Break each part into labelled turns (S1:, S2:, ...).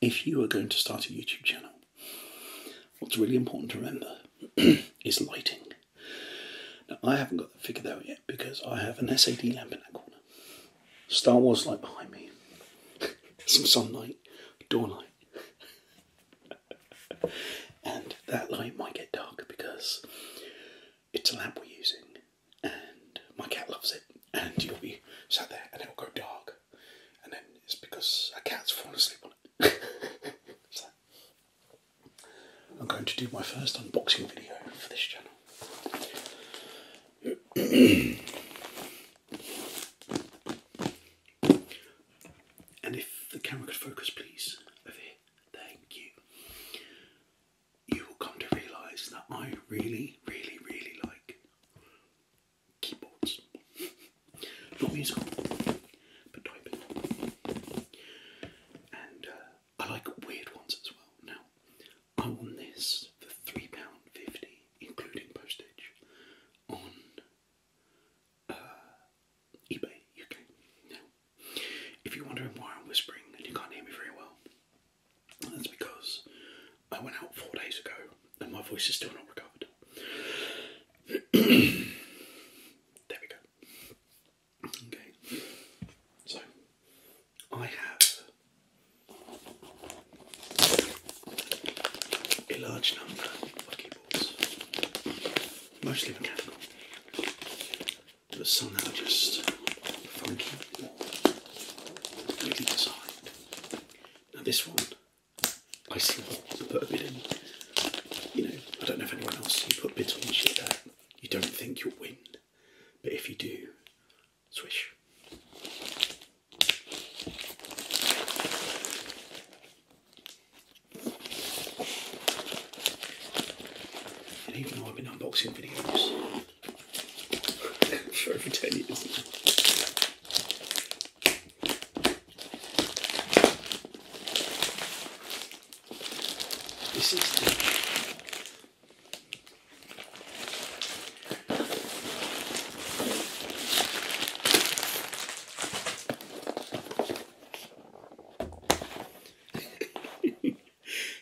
S1: If you are going to start a YouTube channel, what's really important to remember is lighting. Now, I haven't got that figured out yet because I have an SAD lamp in that corner, Star Wars light behind me, some sunlight, door light, and that light might get dark because it's a lamp we're using, and my cat loves it. And you'll be sat there, and it'll go dark, and then it's because a cat's fallen asleep on it. so, I'm going to do my first unboxing video for this channel. and if the camera could focus, please, over here. Thank you you will come to realise that I really, really, really like keyboards. Not musical, but typing. And uh, I like weird ones as well. Now, I won this for £3.50, including postage, on uh, eBay UK. Now, if you're wondering why I'm whispering and you can't hear me very well, that's because I went out four days ago and my voice is still not recovered. there we go. Okay. So, I have a large number of keyboards, mostly mechanical but somehow just funky or weirdly Now this one, I slot and put a bit in. You know, I don't know if anyone else, you put bits on shit that you don't think you'll win, but if you do, swish. And even though I've been unboxing videos, I'm sure for 10 years This is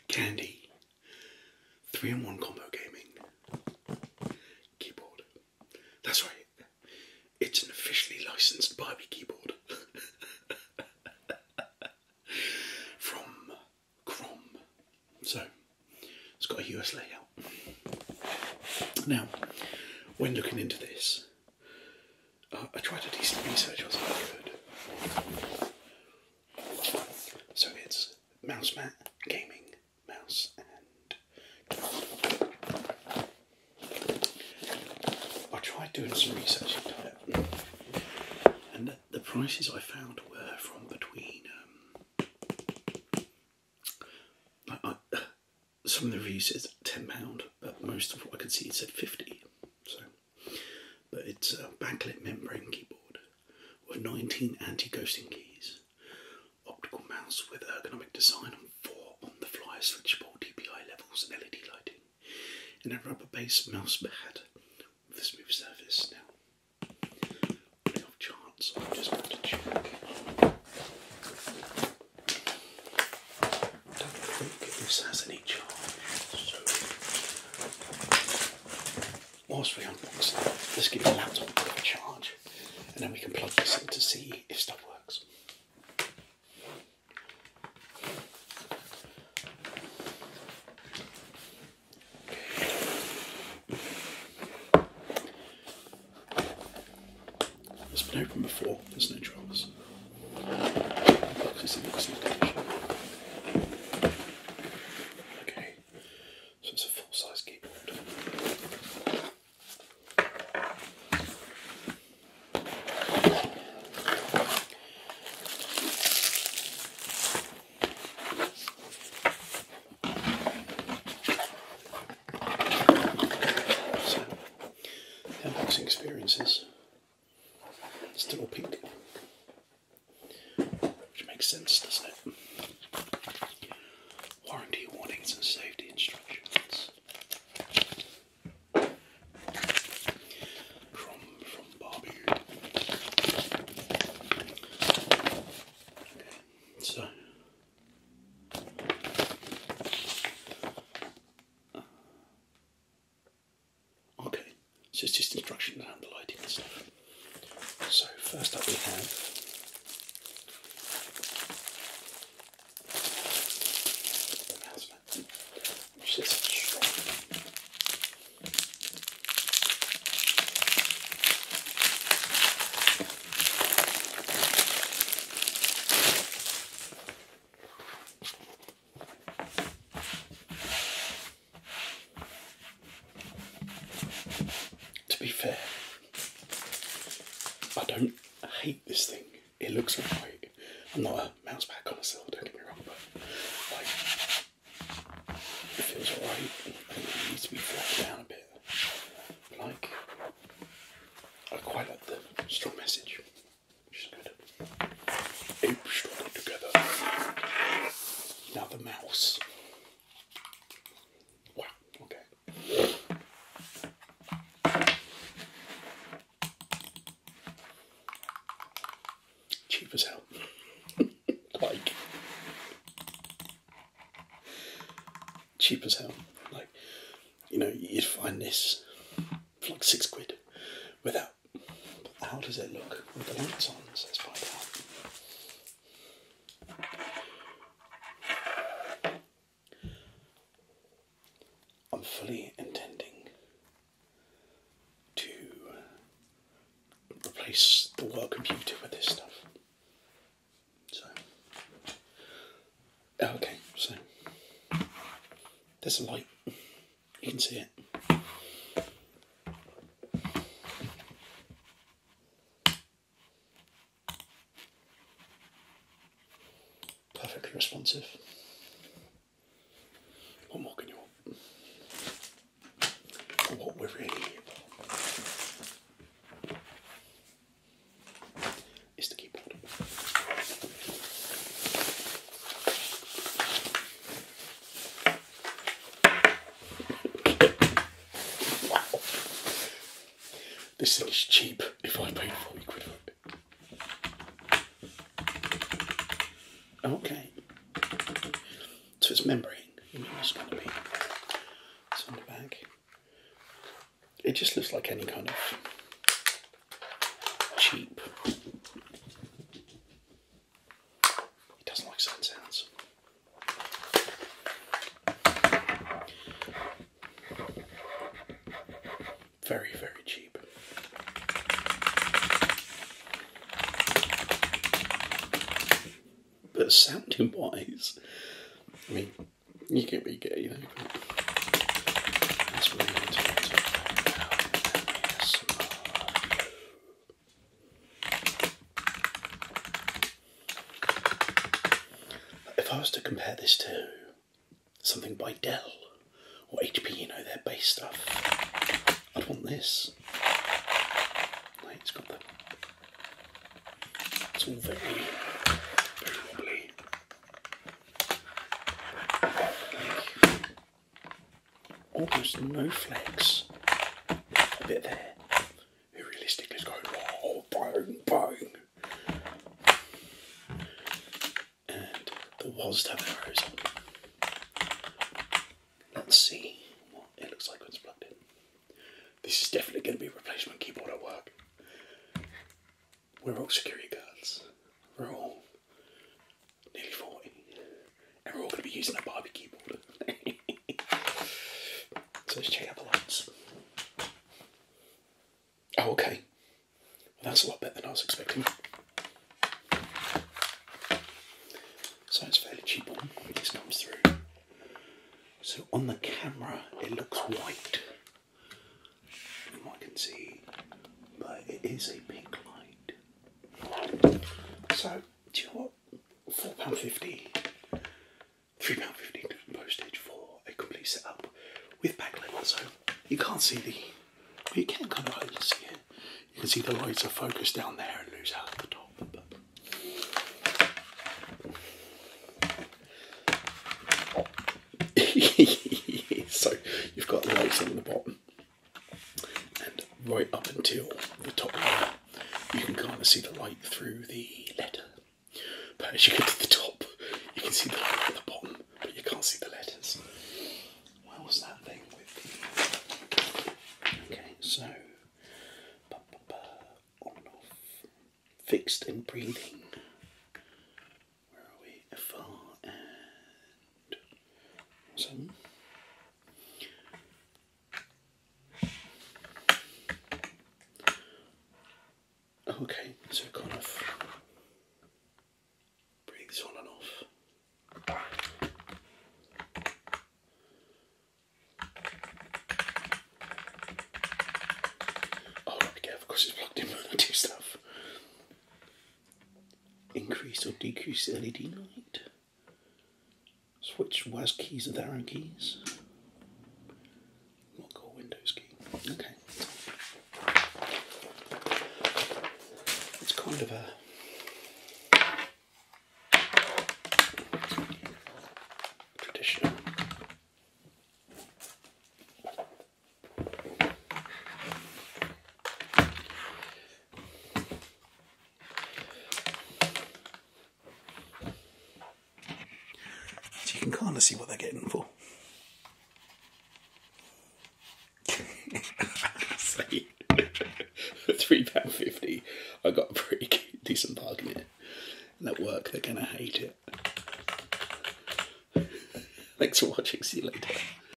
S1: candy. Three in one combo gaming keyboard. That's right. It's an officially licensed Barbie keyboard from Crom. So it's got a US layout. Now, when looking into this, uh, I tried a decent research as I could. So it's mouse mat, gaming, mouse, and I tried doing some research into it, and the prices I found were from between. Um, some of the reviews said ten pound, but most of what I could see said fifty. So. But it's a backlit membrane keyboard with 19 anti-ghosting keys, optical mouse with ergonomic design and four on-the-fly switchable DPI levels and LED lighting, and a rubber base mouse pad with a smooth surface. Now, on chance, i just going to check. I don't think this has any charge, Whilst we unbox, let's give the laptop a bit of a charge and then we can plug this in to see if stuff works. It's been open before, there's no troubles. Okay, so it's a full size keyboard. So, unboxing experiences Still pink. Which makes sense, doesn't it? Warranty warnings and safety instructions. From from Barbie. Okay, so Okay, so it's just instructions and the lighting and stuff. So first up we have to be fair, I don't hate this thing. It looks alright. I'm not a mouse pad connoisseur, don't get me wrong, but like it feels alright. it needs to be flattened down a bit. like I quite like the strong message, which is good. Ape struggled together. Now the mouse. Wow, okay. Cheap as hell. like cheap as hell. Like you know, you'd find this for like six quid without that. How does it look with the lights on? So let's find out. I'm fully intending to replace the work computer with this stuff. So, okay, so there's a light. You can see it. Perfectly responsive. What more can you want? what we're really is the keyboard wow. This thing is cheap if I pay for it. Okay. So it's membrane. it's on the back. It just looks like any kind of cheap he doesn't like sad sounds. Very, very cheap. But sounding wise, I mean, you can be gay. you know. If I was to compare this to something by Dell or HP, you know, their base stuff, I'd want this. it's got the. It's all very, almost no flex. A bit there. Who realistically going, oh, bang, bang. And the WASD have arrows Let's see what it looks like when it's plugged in. This is definitely going to be a replacement keyboard at work. We're all security guards. We're all nearly 40, and we're all going to be using a barbecue board. so let's check out the lights. Oh, okay. Well, that's a lot better than I was expecting. So it's fairly cheap on when this comes through. So on the camera, it looks white. I can see, but it is a pink light. So, do you know £4.50, pounds 50 postage for a complete setup with back leather. So, you can't see the, well, you can kind of see it. You can see the lights are focused down there and lose out at the top. so you've got the lights on the bottom and right up until the top you can kind of see the light through the letter. But as you get to the top, you can see the light at the bottom, but you can't see the letters. Where was that thing Okay, so... on and off. Fixed and breathing. Where are we? Far Okay, so kind of bring on and off. Oh, right, yeah, of course it's plugged in I do stuff. Increase or decrease LED light. Switch WAS keys with arrow keys. Not or Windows key. Okay. It's kind of a traditional you can kind of see what they're getting for. for three pound fifty, I got a pretty decent bargain at work, they're gonna hate it. Thanks for watching. See you later.